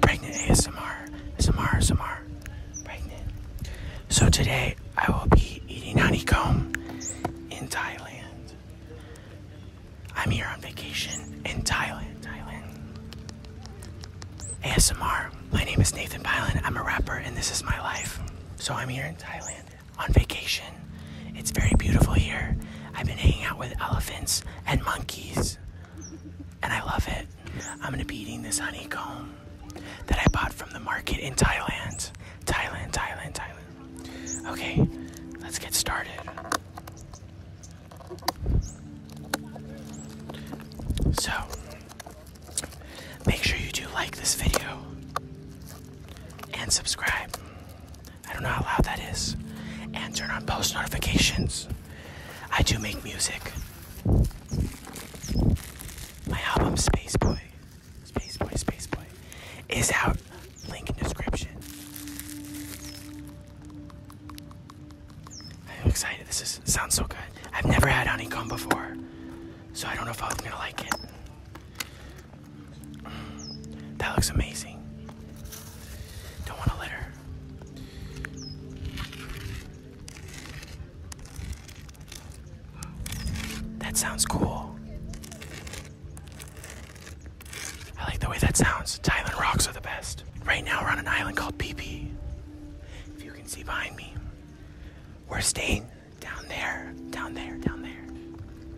Pregnant ASMR, ASMR, ASMR, pregnant. So today I will be eating honeycomb in Thailand. I'm here on vacation in Thailand, Thailand. ASMR. My name is Nathan Bylan. I'm a rapper and this is my life. So I'm here in Thailand on vacation. It's very beautiful here. I've been hanging out with elephants and monkeys, and I love it. I'm gonna be eating this honeycomb that I bought from the market in Thailand. Thailand, Thailand, Thailand. Okay, let's get started. So, make sure you do like this video and subscribe. I don't know how loud that is. And turn on post notifications. I do make music. My album Space Boy, Space Boy, Space Boy is out. Link in description. I'm excited. This is sounds so good. I've never had honeycomb before, so I don't know if I'm gonna like it. That looks amazing. Don't want to let That sounds cool. I like the way that sounds. Thailand rocks are the best. Right now we're on an island called PP. If you can see behind me, we're staying down there. Down there. Down there.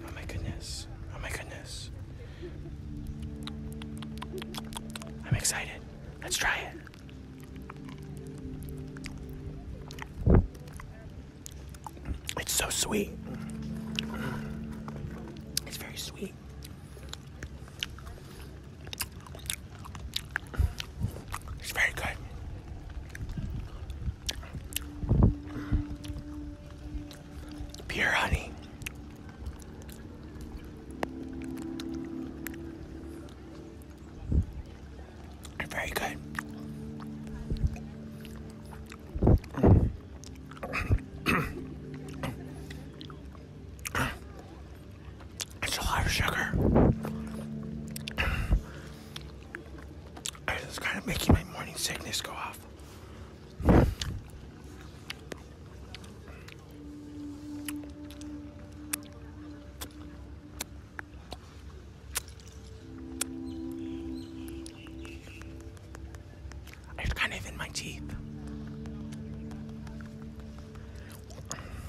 Oh my goodness. Oh my goodness. I'm excited. Let's try it. It's so sweet. It's very sweet. It's very good. Pure honey. Very good. It's a lot of sugar. It's kind of making my morning sickness go off. It's kind of in my teeth.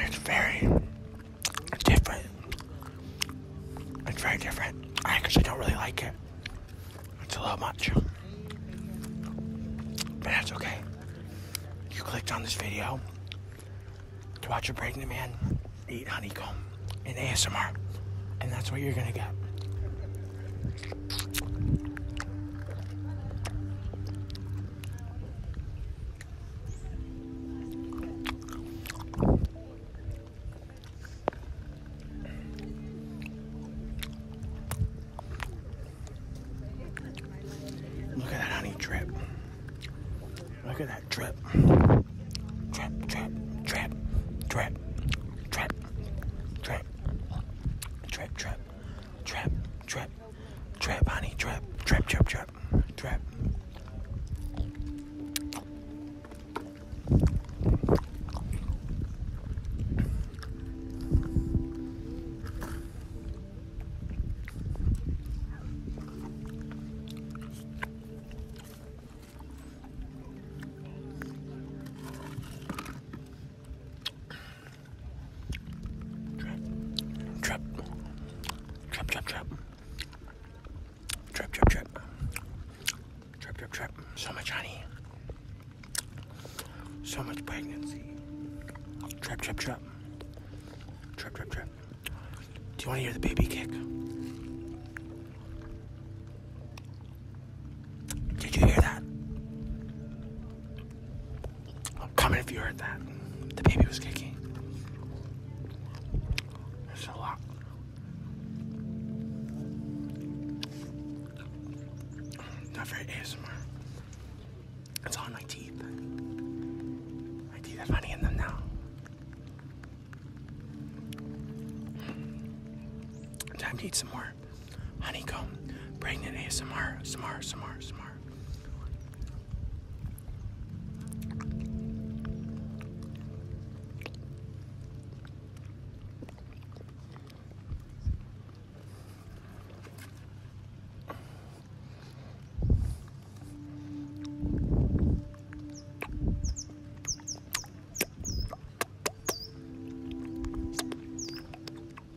It's very different. It's very different. I actually don't really like it. It's a little much. But that's okay. You clicked on this video to watch a pregnant man eat honeycomb in ASMR. And that's what you're gonna get. Look at that honey drip. Look at that drip. Drip, drip, drip, drip, drip, drip, drip, drip, drip, Trap, honey, trap, trap, trap, trap, Trap. Trap, trap, trap. Trap, trap, trap. Trap, trap, trap. So much honey. So much pregnancy. Trap, trap, trap. Trap, trap, trap. Do you want to hear the baby kick? Did you hear that? Comment if you heard that. The baby was kicking. There's a lot. Not very ASMR. It's on my teeth. My teeth have honey in them now. Time to eat some more. ASMR. Honeycomb. Pregnant ASMR. Smart, smart, smart.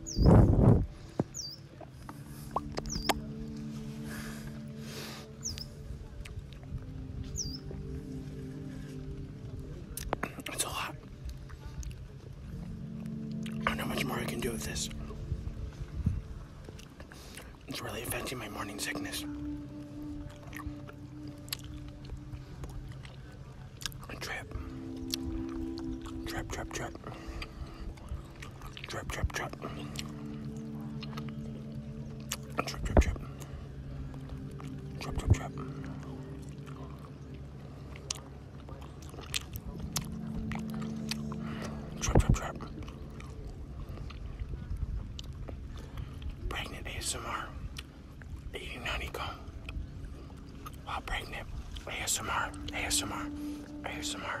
It's a lot. I don't know much more I can do with this. It's really affecting my morning sickness. Trap. Trap, trap, trap. Trap, trap, trap. Trap, trap, trap. Trap, trap, trap. Trap, trap, trap. Pregnant ASMR eating honeycomb while pregnant. ASMR, ASMR, ASMR.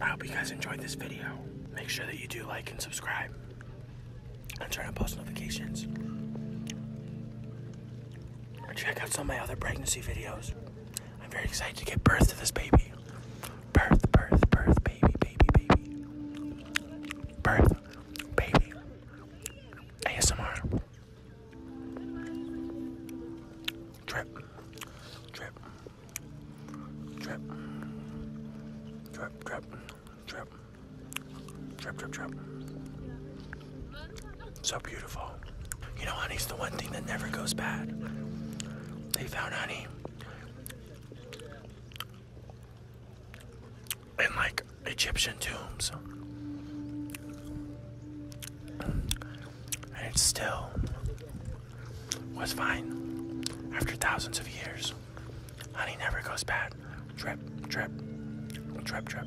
I hope you guys enjoyed this video. Make sure that you do like and subscribe and turn on post notifications. check out some of my other pregnancy videos. I'm very excited to give birth to this baby. Birth, birth, birth, baby, baby, baby. Birth, baby. ASMR. Trip. Trip. Trip. Trip, trip, trip. Trip, trip, trip. So beautiful. You know, honey's the one thing that never goes bad. They found honey. In like Egyptian tombs and it still was fine after thousands of years. Honey never goes bad. Drip, drip, drip, drip.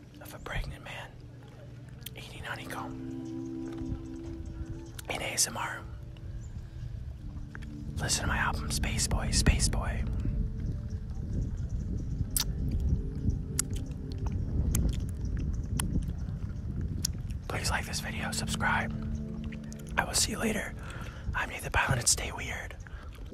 of a pregnant man eating honeycomb in ASMR. Listen to my album Space Boy, Space Boy. Please like this video, subscribe. I will see you later. I'm Nathan Pilot stay weird. I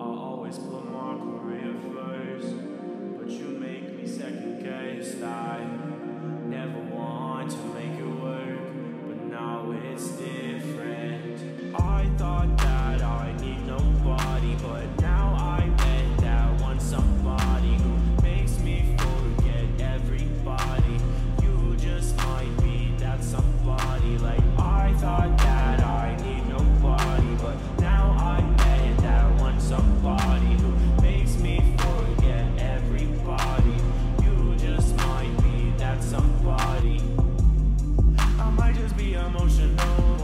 always put my career first, but you make me second-guess. never want to make it work, but now it's different. I thought that I need nobody But now I bet that one somebody Who makes me forget everybody You just might be that somebody Like I thought that I need nobody But now I bet that one somebody Who makes me forget everybody You just might be that somebody I might just be emotional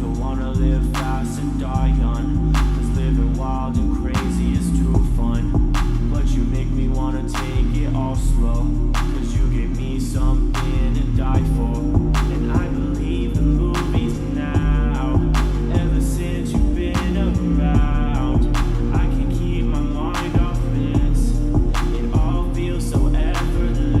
Don't wanna live fast and die young Cause living wild and crazy is too fun But you make me wanna take it all slow Cause you gave me something to die for And I believe in movies now Ever since you've been around I can keep my mind off this It all feels so effortless